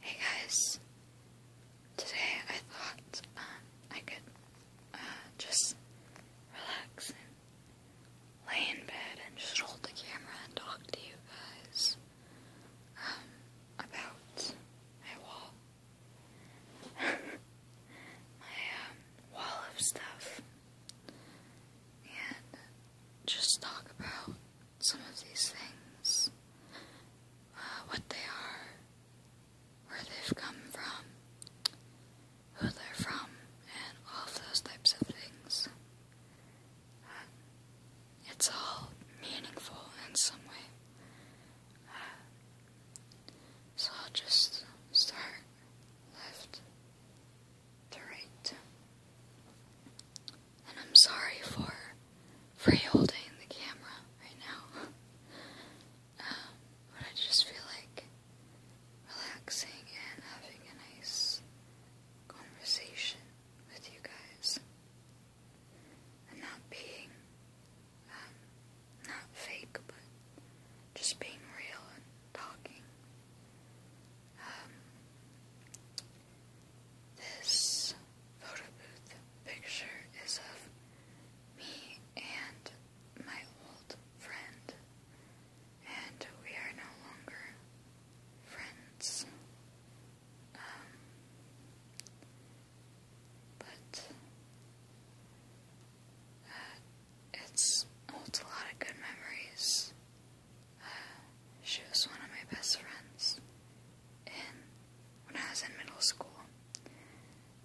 Hey guys, today I thought um, I could uh, just relax and lay in bed and just hold the camera and talk to you guys um, about my wall. my um, wall of stuff. And just talk about some of these things, uh, what they are, where they've come from, who they're from, and all of those types of things. Uh, it's all meaningful in some way. Uh, so I'll just start left turret. And I'm sorry for for holding the camera right now. Um, but I just feel like relaxing and having a nice conversation with you guys. And not being, um, not fake, but just being real and talking. Um, this photo booth picture is of me and my old friend, and we are no longer friends. Um, but uh, it's holds a lot of good memories. She was one of my best friends when I was in middle school.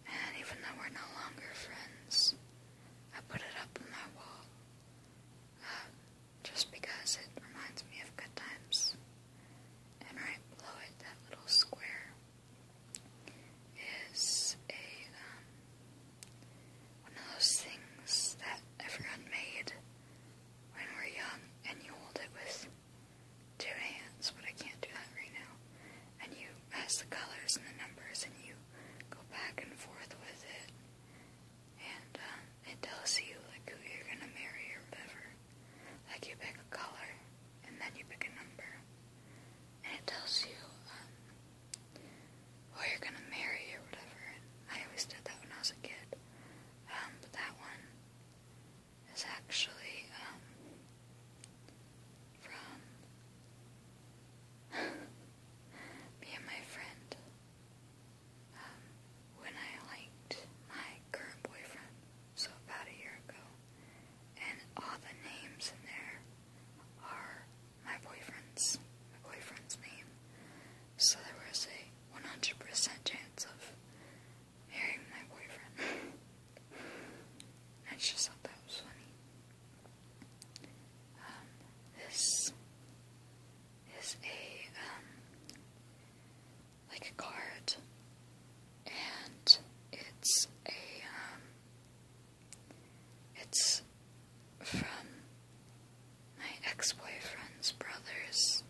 And even though we're no longer friends, I put it up on my wall. Uh, just because it reminds me of good times. And right below it, that little square, is a, um, one of those things that everyone made when we're young and you hold it with two hands, but I can't do that right now. And you mess the colors and the numbers and you go back and forth with it. And um, it tells you like who you're gonna marry or whatever. Like you pick a color and then you pick a number. And it tells you um, who you're gonna marry or whatever. And I always did that when I was a kid. Um, but that one is actually um, from me and my friend um, when I liked my current boyfriend, so about a year ago. And all the names in there are my boyfriend's, my boyfriend's name so there was a 100% chance of marrying my boyfriend. I just thought that was funny. Um, this is a, um, like a card, and it's a, um, it's from my ex-boyfriend's brother's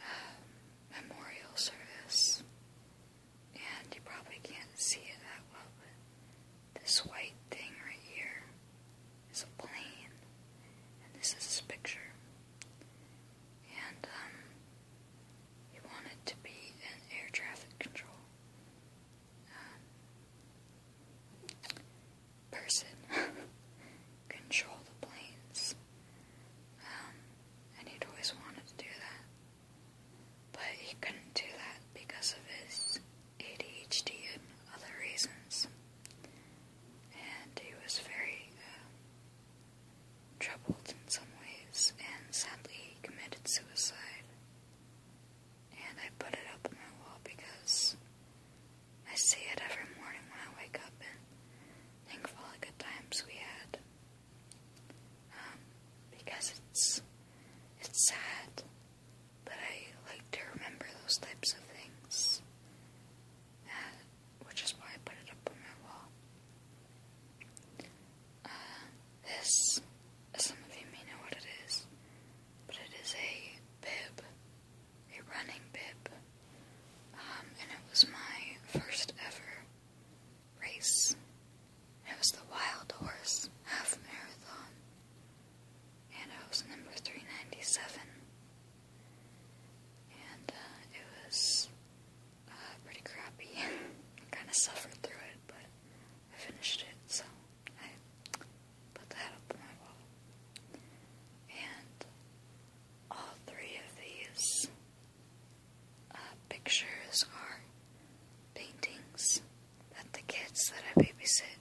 uh, memorial service, and you probably can't see it that well, but this white thing right here is a plane, and this is his picture, and um, he wanted to be an air traffic control. Um, person control the planes. Um, and he'd always wanted to do that. But he couldn't do that because of his ADHD and other reasons. And he was very uh, troubled in some ways, and sadly he committed suicide. And I put it up on my wall because I see it every morning when I wake up and think of all the good times we had. Um, because it's it's sad but I like to remember those types of things. Uh, which is why I put it up on my wall. Uh, this, as some of you may know what it is, but it is a bib a running bib, um, and it was my first ever race. It was the Wild Horse Half Marathon, and I was number 397. And uh, it was uh, pretty crappy. I kind of suffered through it, but I finished it, so I put that up on my wall. And all three of these uh, pictures are paintings that the kids that I babysit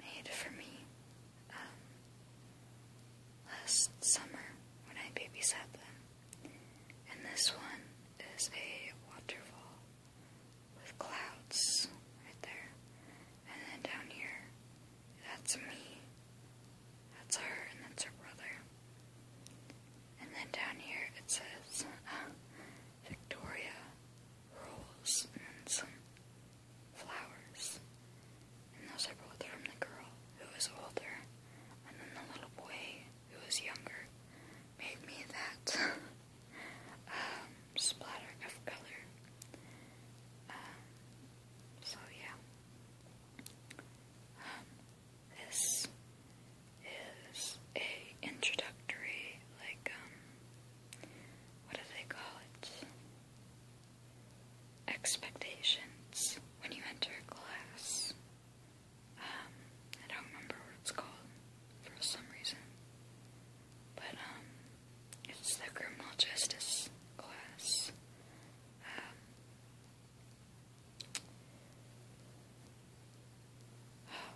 made for me um, last summer when I babysat them. And this one is a waterfall with clouds right there. And then down here, that's me. That's her, and that's her brother. And then down here, it says uh, Victoria Rolls, and then some flowers. And those are both from the girl who was older, and then the little boy who was younger made me that. um, splatter of color. Um, so yeah, um, this is a introductory, like um, what do they call it? Expectations when you enter class. I don't remember what it's called for some reason. But, um, it's the criminal justice class. Um,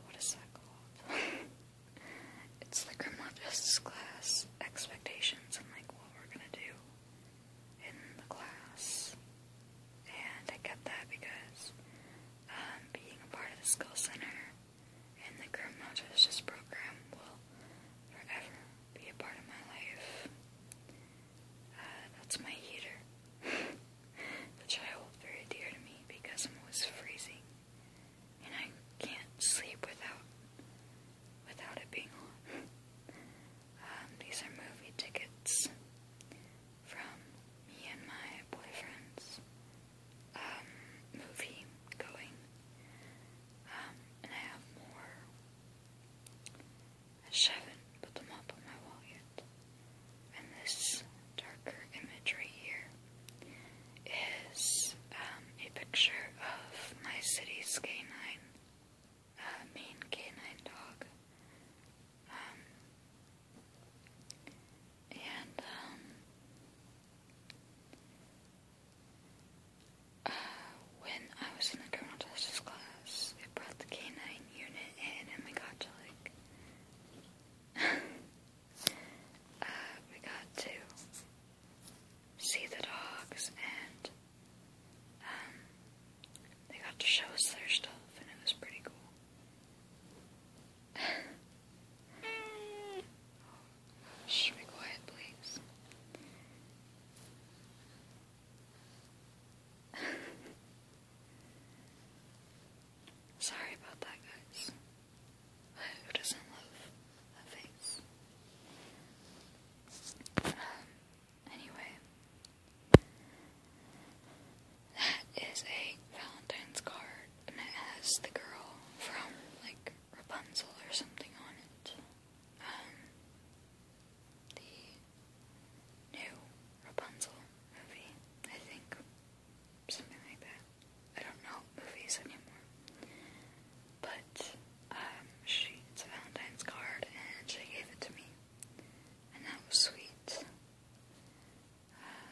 what is that called? it's the criminal justice class expectations and like what we're gonna do in the class. And I kept that because um, being a part of the skill center, and the criminal justice program will forever be a part of my life. Uh, that's my heater, which I hold very dear to me because I'm always freezing, and I can't sleep without without it being on. um, these are movie tickets from me and my boyfriend's um, movie going. Um, and I have more. I put them up on my wall yet. And this darker image right here is um, a picture of my city's canine, uh, main canine dog. Um, and when I was in the criminal justice class, I brought the canine unit in and we got to like. Uh, we got to see the dogs and um, they got to show us their stuff and it was pretty cool. Shh, be quiet, please. Sorry about that, guys. Who doesn't love a face? Um, anyway, that is a Valentine's card, and it has the girl from, like, Rapunzel or something on it. Um, the new Rapunzel movie, I think. Something like that. I don't know movies anymore. But, um, she, it's a Valentine's card, and she gave it to me. And that was sweet. Uh,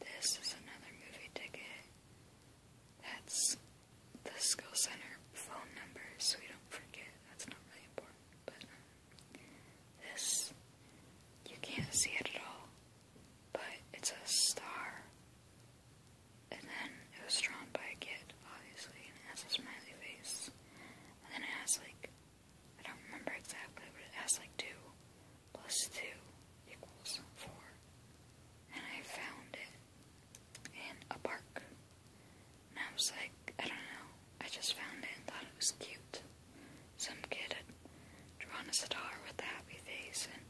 this is another movie ticket that's the skill center phone number so we don't forget. That's not really important, but um, this you can't see it at all, but it's a star. And then it was drawn by a kid, obviously, and it has a smiley face. And then it has like I don't remember exactly, but it has like two plus two equals four and I found it in a park. And I was like, I don't know, I just found it and thought it was cute. Some kid had drawn a star with a happy face and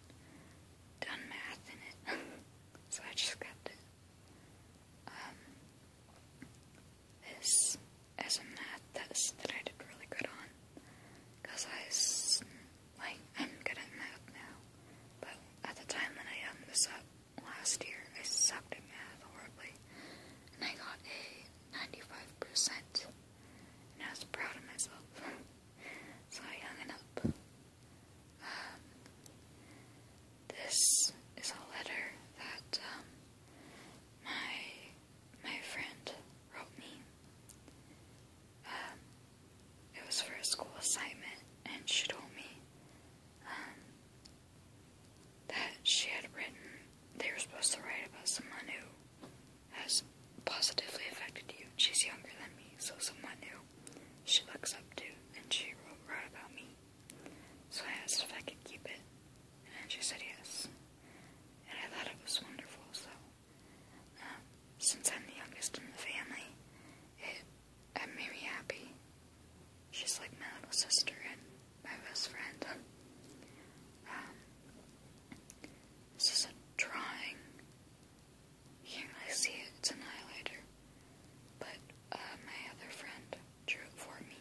done math in it. so I just kept it. Um, this is a math test that I did really good on because I like, I'm good at math now, but at the time when I opened um, this up last year, I sucked at math horribly, and I got a 95%, and I was proud of myself, so I hung it up. Um, this is a letter that, um, my, my friend wrote me, um, it was for a school assignment, and she told me um, that she had written, they were supposed to write about someone who has positively affected you. She's younger than me, so someone who she looks up to, and she wrote, wrote about me. So I asked if I could keep it, and she said yes. And I thought it was wonderful, so um, since I'm the youngest in the family, it, made me happy. She's like my little sister and my best friend. Um, this is a drawing. You can't see it, it's an highlighter. But uh, my other friend drew it for me.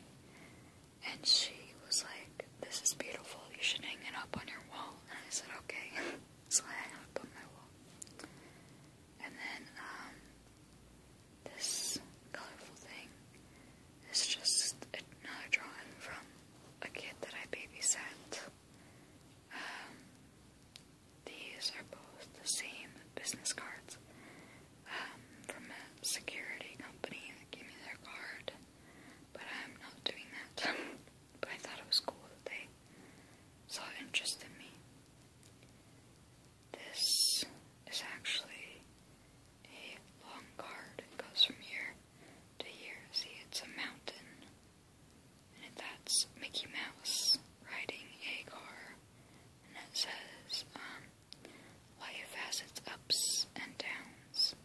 And she was like, This is beautiful, you should hang it up on your wall. And I said, Okay. so I hang it on my wall. And then um, this colorful thing is just another drawing from a kid that I babysat. Um, these are both the same business cards um, from a security company that gave me their card, but I'm not doing that. But I thought it was cool that they saw interest in me. This is actually a long card. It goes from here to here. See, it's a mountain. And that's Mickey Mouse riding a car. And it says, um, life has its ups and downs.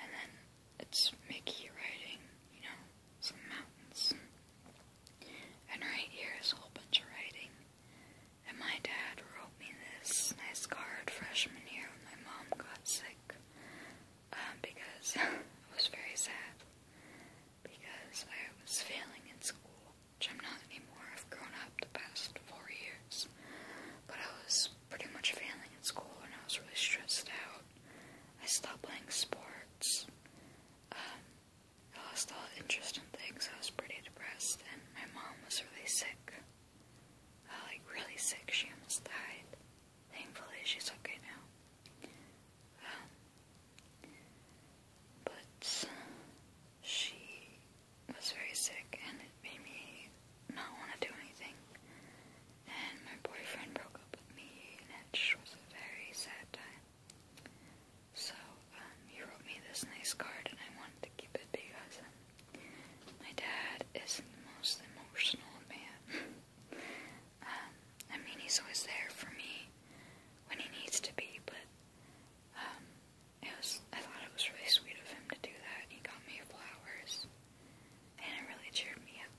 And then it's Mickey riding, you know, some mountains. And right here is a whole bunch of writing. And my dad wrote me this nice card freshman year when my mom got sick. Um, because I was very sad. Because I was failing in school, which I'm not anymore. I've grown up the past four years. But I was pretty much failing in school and I was really stressed out. I stopped playing sports. Um, I lost all interest in things. I was pretty depressed, and my mom was really sick. Uh, like, really sick. She almost died. Thankfully, she's okay now. Um, but she was very sick, and it made me not want to do anything. And my boyfriend broke up with me, which was a very sad time. So, um, he wrote me this nice card, and I wanted to keep it because um, my dad isn't the most emotional man. um, I mean, he's always there for me when he needs to be, but um, it was, I thought it was really sweet of him to do that. He got me flowers, and it really cheered me up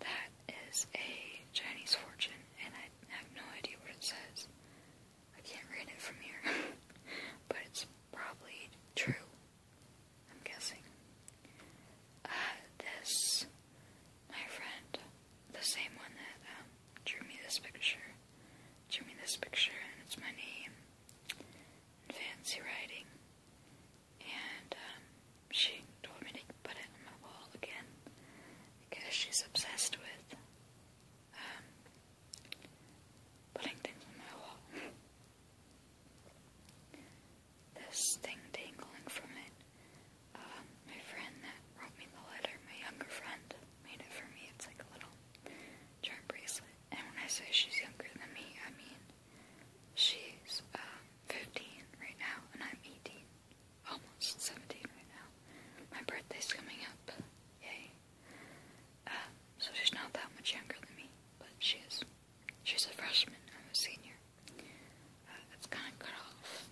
that is a Chinese fortune, and I have no idea what it says. I can't read it from here, but it's probably true. I'm guessing. Uh, this, my friend, the same one that um, drew me this picture, drew me this picture, and it's my name fancy writing and um, she told me to put it on the wall again because she's obsessed with um, putting things on my wall. this thing dangling from it. Um, my friend that wrote me the letter, my younger friend, made it for me. It's like a little charm bracelet. And when I say she's younger than me, I mean she's 15 right now, and I'm 18. Almost 17 right now. My birthday's coming up. Yay. Um, so she's not that much younger than me, but she is. She's a freshman. I'm a senior. Uh, kind of cut off.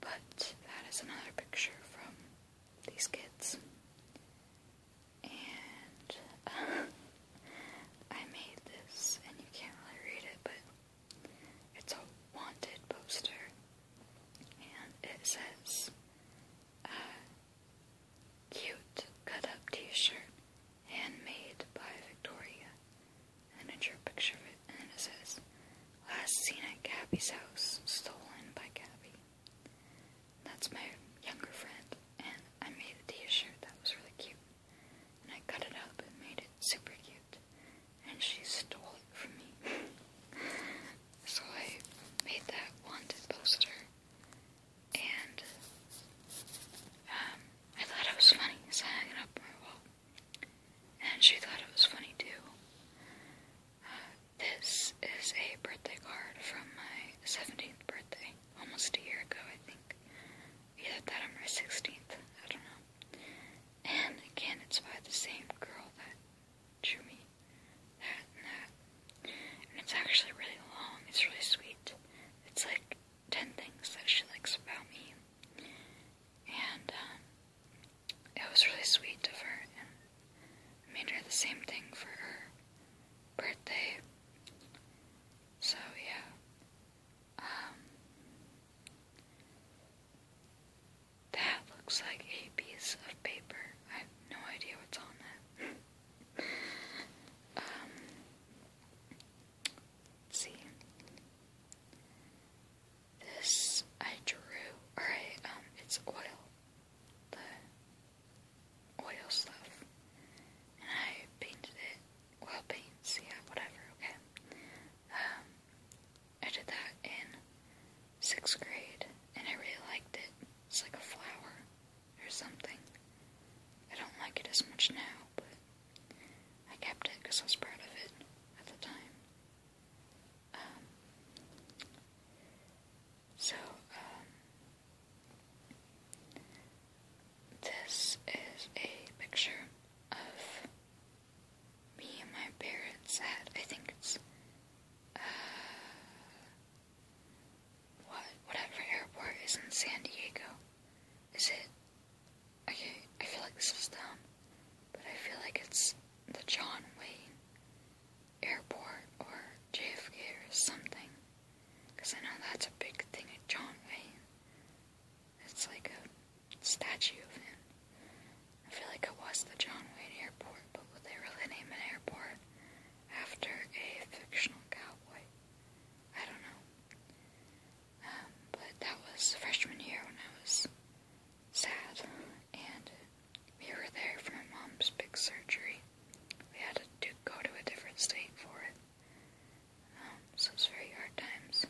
But that is another picture from these kids. And uh, I made this, and you can't really read it, but it's a wanted poster, and it says, uh, cute cut-up t-shirt, handmade by Victoria, and then I a picture of it, and it says, last seen at Gabby's house, stolen by Gabby. That's my younger friend, and I made the t t-shirt that was really cute and I cut it up and made it super cute. And she stole it from me. so I made that wanted poster, and um, I thought it was funny, so I hung it up on my wall. And she thought it was funny too. Uh, this is a birthday card from my 17th birthday, almost a year ago, I think. Either that or my 16th. I don't know. And again, it's by the same girl that drew me that and that. And it's actually really long. It's really sweet. It's like 10 things that she likes about me. And um, it was really sweet of her. And I made her the same thing for her birthday. So, yeah. Um, that looks like a piece of paper. I have no idea what's on it. Um, let's see. This I drew, or um, it's oil. The oil stuff. And I painted it oil paints, yeah, whatever, okay. Um, I did that in sixth grade, and I really liked it. It's like a flower or something. I don't like it as much now, but I kept it because I was proud of it at the time. Um, so, um, this is a picture of me and my parents at, I think it's, uh, what, whatever airport is in San Diego. Is it, okay, I feel like this is dumb, but I feel like it's the John Wayne Airport or JFK or something. Because I know that's a big thing at John Wayne. It's like a statue of him. I feel like it was the John Wayne Airport, but would they really name an airport after a fictional cowboy? I don't know. Um, but that was freshman year when I was sad, and we were there for my mom's big surgery. We had to go to a different state for it. Um, so it's very hard times.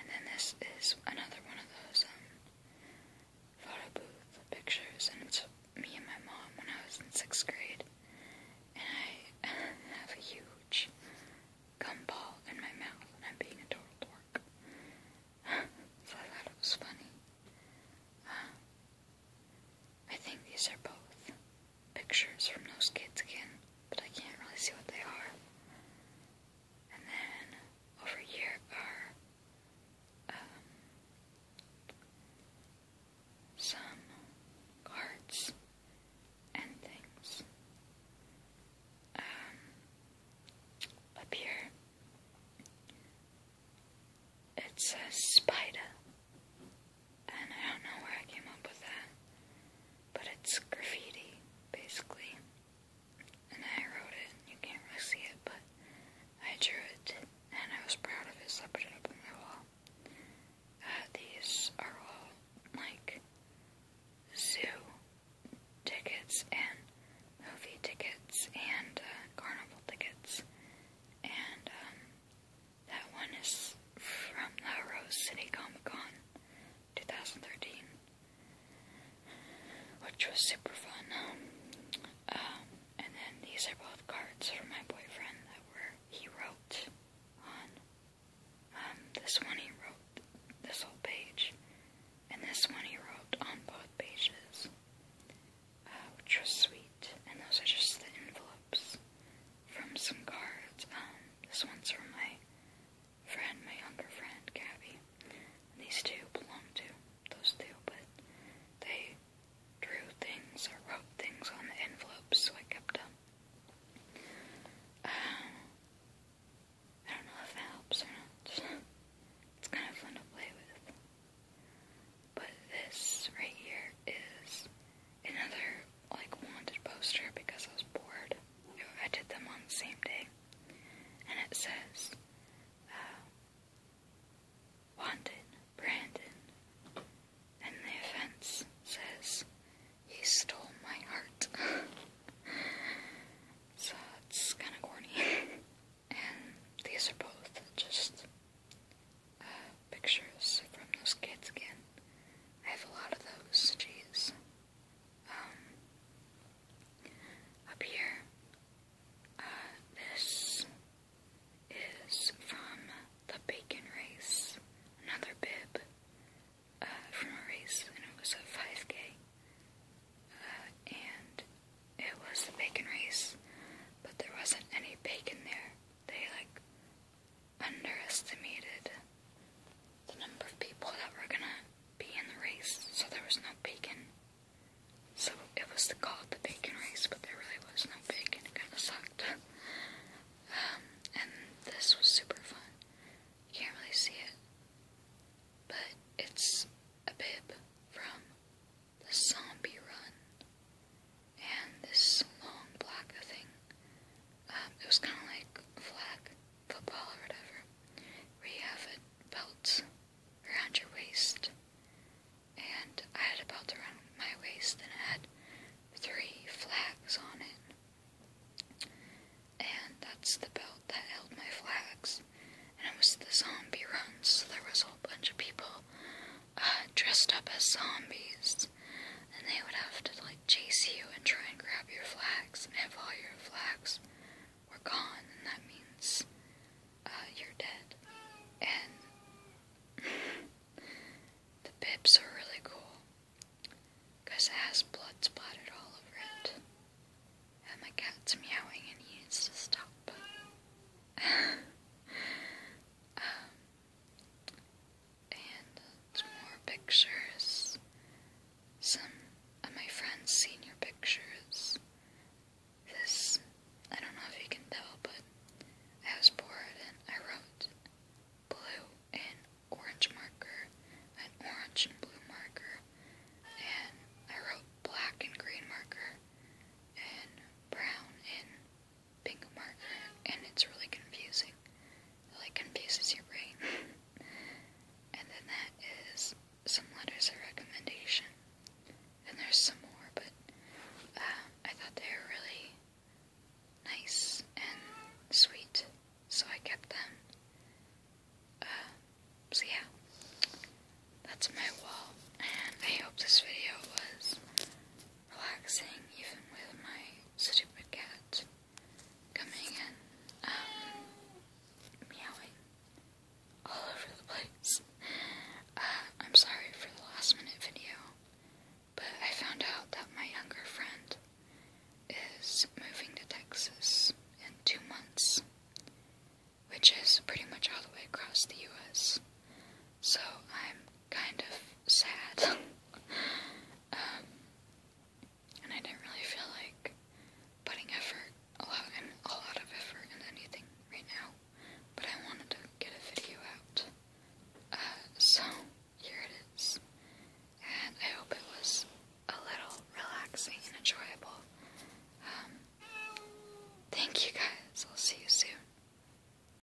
And then this is another one of those um, photo booth pictures, and it's me and my mom when I was in sixth grade. And I have a huge gumball in my mouth, and I'm being a total dork. so I thought it was funny. Uh, I think these are both pictures from those kids again, but I can't really see what they are. And then over here are um, some cards and things. Um, up here it says spider. And I don't know where I came up with that, but it's graffiti, basically. And I wrote it. You can't really see it, but I drew it, and I was proud of it, so I put it up on my wall. Uh, these are all like zoo tickets and movie tickets and uh, carnival tickets and um, that one is from La Rose City Comic Con 2013, which was super fun. Um, um, and then these are both cards from my boyfriend that were he wrote on. Um, this one he wrote this whole page, and this one he wrote on both pages, uh, which was sweet sheet, and those are just the envelopes from some cards. Um, this one's from my friend, my younger friend, Gabby. And these two belong to those two, but they drew things or wrote things on the envelopes, so I kept them. Um, I don't know if that helps or not. It's kind of fun to play with. But this right here is another like wanted poster because I was bored. I did them on the same day. And it says uh, Wanted Brandon. And the offense says he stole my heart. so it's kinda corny. and these are both just pictures from those kids again. I have a lot of those, jeez. Um, up here, uh, this is from the bacon race, another bib, uh, from a race, and it was a 5K, uh, and it was the bacon race, but there wasn't any bacon there. They, like, underestimated the number of people that were gonna be in the race, so there was no bacon. So it was called the bacon race, but there really was no bacon. It kind of sucked. Um, and this was super fun. You can't really see it, but it's a bib from the Zombie Run and this long black thing. Um, it was kind of like a flag football or whatever, where you have a belt around your waist. And I had a belt around my waist, and it had three flags on it. And that's the belt that held my flags. And it was the zombie run, so there was a whole bunch of people dressed up as zombies, and they would have to like chase you and try and grab your flags. And if all your flags were gone, then that means uh, you're dead. And the bibs are really cool because it has blood splattered all over it. And the cat's meowing and he needs to stop. Um, and more pictures. Some of my friend's senior pictures. This, I don't know if you can tell, but I was bored and I wrote blue and orange marker, an orange and blue marker, and I wrote black and green marker, and brown in pink marker, and it's really confusing. It like confuses your brain. and then that is some letters of recommendation. And there's some more, but um, I thought they were really nice and sweet, so I kept them. Um, so yeah, that's my wall, and I hope this video was relaxing even with my stupid cat coming and um, meowing all over the place. Uh, I'm sorry for the last minute video, but I found out that my younger friend is moving to Texas in two months, which is pretty much all the way across the US. So I'm kind of sad. um, and I didn't really feel like putting effort, a lot, a lot of effort into anything right now, but I wanted to get a video out. Uh, so, here it is. And I hope it was a little relaxing and enjoyable. Um, thank you guys. I'll see you soon.